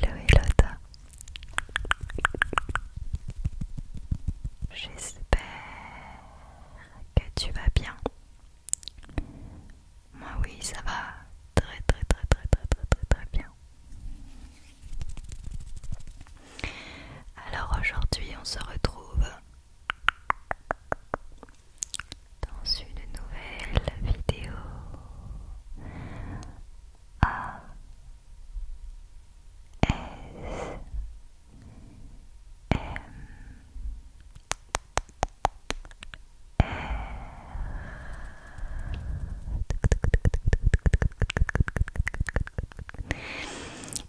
Hello Elota J'espère que tu vas bien Moi oui ça va très très très très très très très très bien Alors aujourd'hui on se retrouve dans une nouvelle vidéo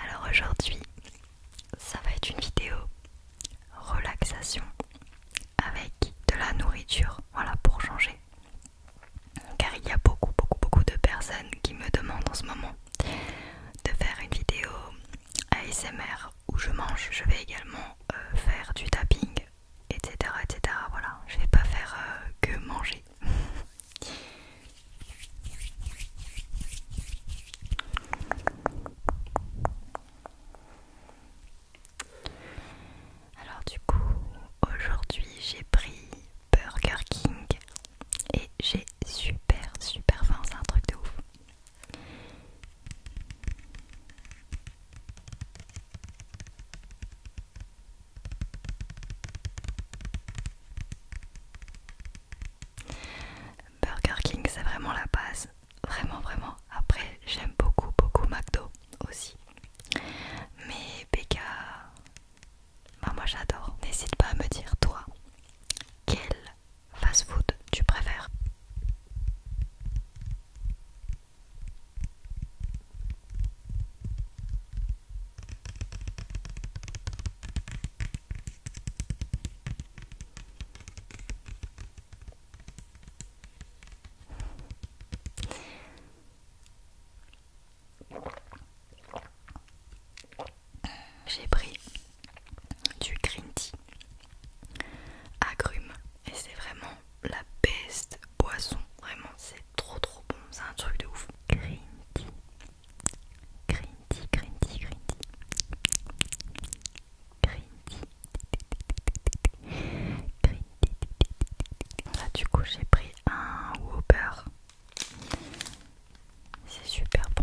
alors aujourd'hui, ça va être une vidéo relaxation avec de la nourriture, voilà pour changer. Car il y a beaucoup, beaucoup, beaucoup de personnes qui me demandent en ce moment de faire une vidéo ASMR où je mange. Je vais également euh, faire du tapping, etc. etc. Voilà, je vais pas faire euh, que manger. Alors du coup, aujourd'hui j'ai pris Burger King et j'ai super super faim, c'est un truc de ouf. Burger King c'est vraiment la base, vraiment vraiment. Après j'aime beaucoup beaucoup McDo aussi. Mais Becca, bah, moi j'adore. N'hésite pas à me dire toi quel fast food tu préfères. J'ai pris du green tea agrumes et c'est vraiment la best boisson. Vraiment, c'est trop trop bon. C'est un truc de ouf. Green tea, green tea, green tea, green tea. Là, du coup, j'ai pris un Whopper. C'est super bon.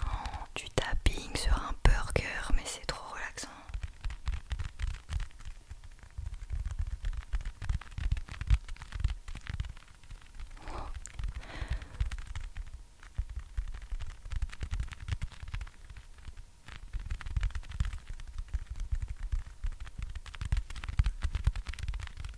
Oh, du tapping sur un burger, mais c'est trop relaxant.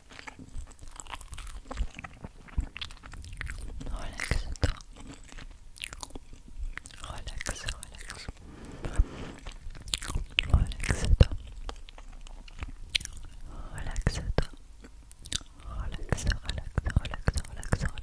relax toi relax relax relax toi relax toi relax relax relax relax relax relax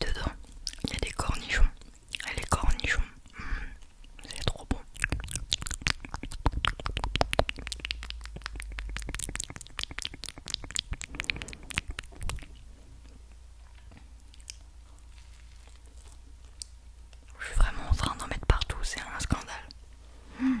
Dedans, il y a des cornichons. Ah, les cornichons, hmm, c'est trop bon. Je suis vraiment en train d'en mettre partout, c'est un scandale. Hmm.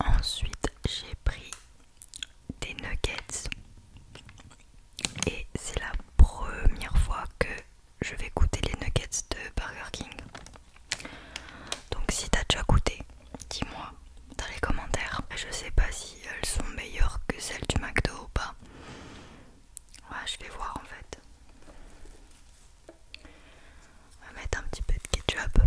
Ensuite, j'ai pris des nuggets et c'est la première fois que je vais goûter les nuggets de Burger King. Donc si t'as déjà goûté, Dis-moi dans les commentaires. Je sais pas si elles sont meilleures que celles du McDo ou pas. je vais voir en fait. On va mettre un petit peu de ketchup.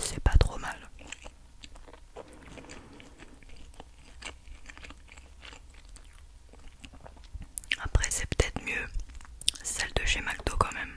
C'est pas trop mal. Après, c'est peut-être mieux celle de chez quand même.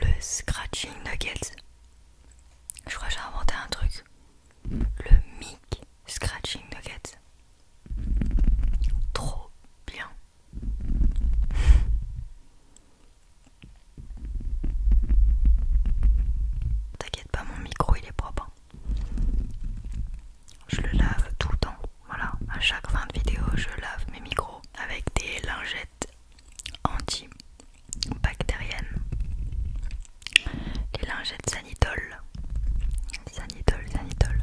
Le scratching nuggets. Je crois que j'ai inventé un truc. Le mic scratching nuggets. Trop bien. T'inquiète pas, mon micro il est propre. Hein. Je le lave tout le temps. Voilà, à chaque fin de vidéo, je lave mes micros avec des lingettes antibactériennes Les lingettes sanitol. Sanitol, sanitol.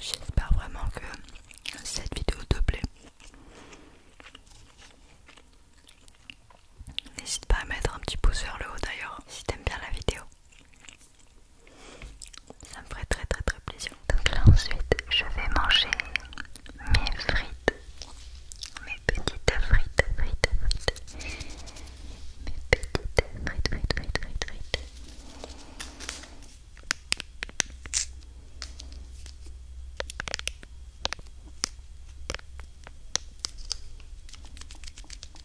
J'espère vraiment que cette vidéo te plaît. N'hésite pas à mettre un petit pouce vers le haut d'ailleurs si t'aimes bien la vidéo. Ça me ferait très très très plaisir. Donc là ensuite je vais manger mes frites. Mes petites frites, frites, frites. Mes petites frites, frites, frites, frites, frites.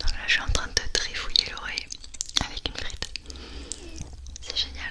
Donc là, je suis en train de trifouiller l'oreille avec une frite. C'est génial.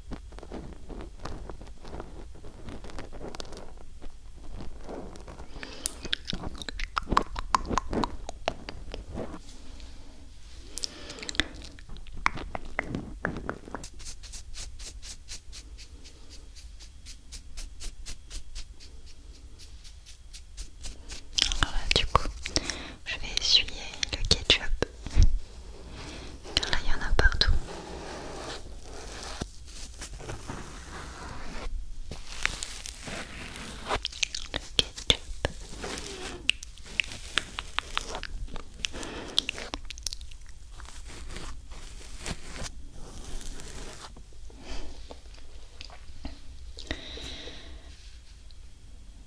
Alors du coup, je vais essuyer le ketchup car Là, il y en a partout.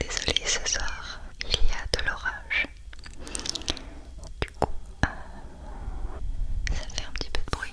désolé ce soir, il y a de l'orage. Du coup, euh, ça fait un petit peu de bruit.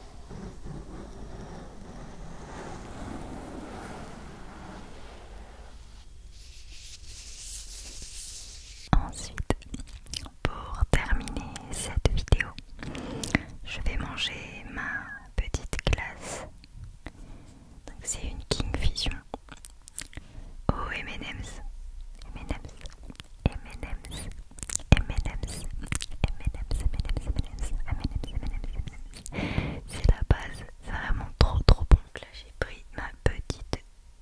Ensuite, pour terminer cette vidéo, je vais manger ma petite glace. C'est une King Fusion au M&M's, c'est la base, c'est vraiment trop trop bon. Là j'ai pris ma petite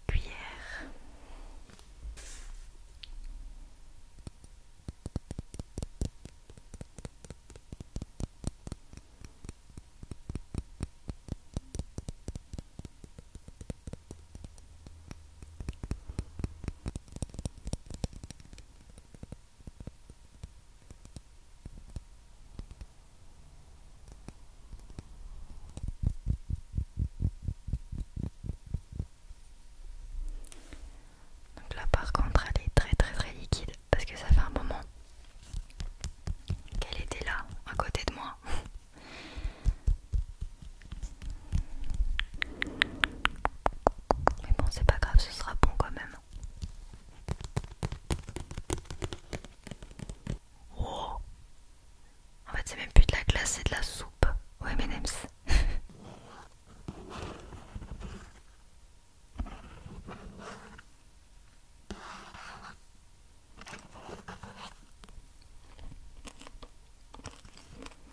cuillère. Donc là par contre elle est très très très liquide parce que ça fait un moment qu'elle était là à côté de moi. Mais bon c'est pas grave, ce sera bon quand même. Oh. En fait c'est même plus de la glace, c'est de la soupe Oui,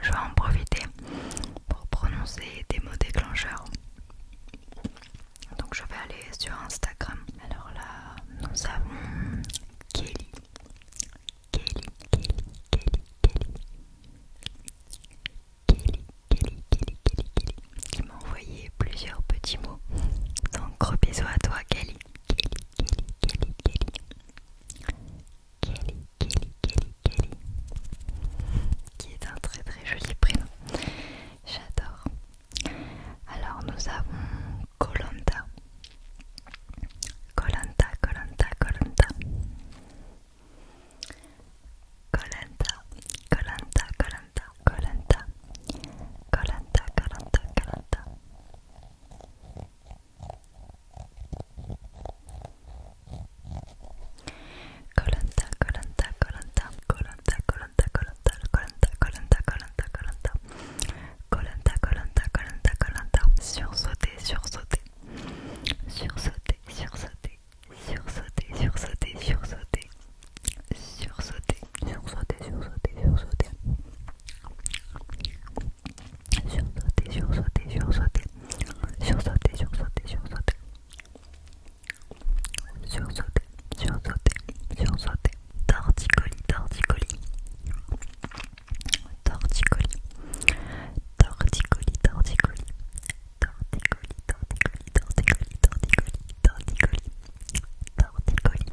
Je vais en profiter pour prononcer des mots déclencheurs donc je vais aller sur Instagram. Alors là, nous avons Kelly. Kelly, Kelly, Kelly, Kelly. Kelly, Kelly, Kelly, Kelly, Kelly. Qui m'a envoyé plusieurs petits mots. Donc gros bisous à toi Kelly. Kelly, Kelly, Kelly, Kelly. Kelly, Kelly, Kelly, Kelly. Qui est un très très joli prénom. J'adore. Alors nous avons Colanta. Colanta, Colanta, Colanta. Colanta, Colanta, Colanta, Colanta. Colanta, Colanta, Colanta. Colanta, Colanta, Colanta, Colanta, Colanta, Colanta, Colanta, Colanta, Colanta, Colanta, Colanta, Colanta, Colanta, sursauter Sursauter, sursauter, sursauter. Torticolis, torticolis. Torticolis. Torticolis, torticolis. Torticolis, torticolis, torticolis, torticolis, torticolis. Torticolis. Torticolis,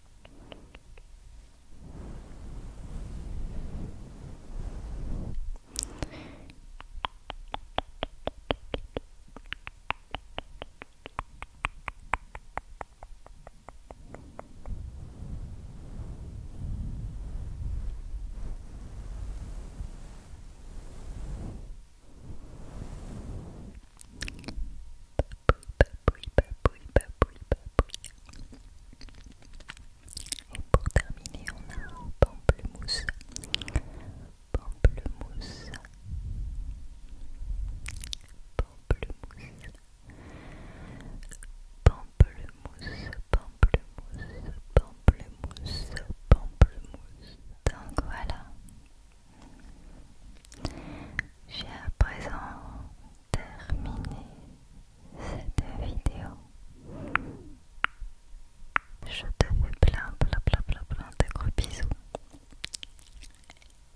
Papouille, papouille, papouille, papouille, papouille. Et pour terminer, on a un pamplemousse. Pamplemousse. Pamplemousse. Pamplemousse, pamplemousse, pamplemousse, pamplemousse. Donc voilà. J'ai à présent terminer cette vidéo. Je te fais plein, plein, plein, plein, plein de gros bisous.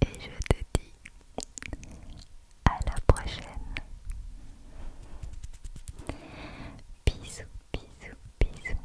Et je te dis à la prochaine. Bisous, bisous, bisous.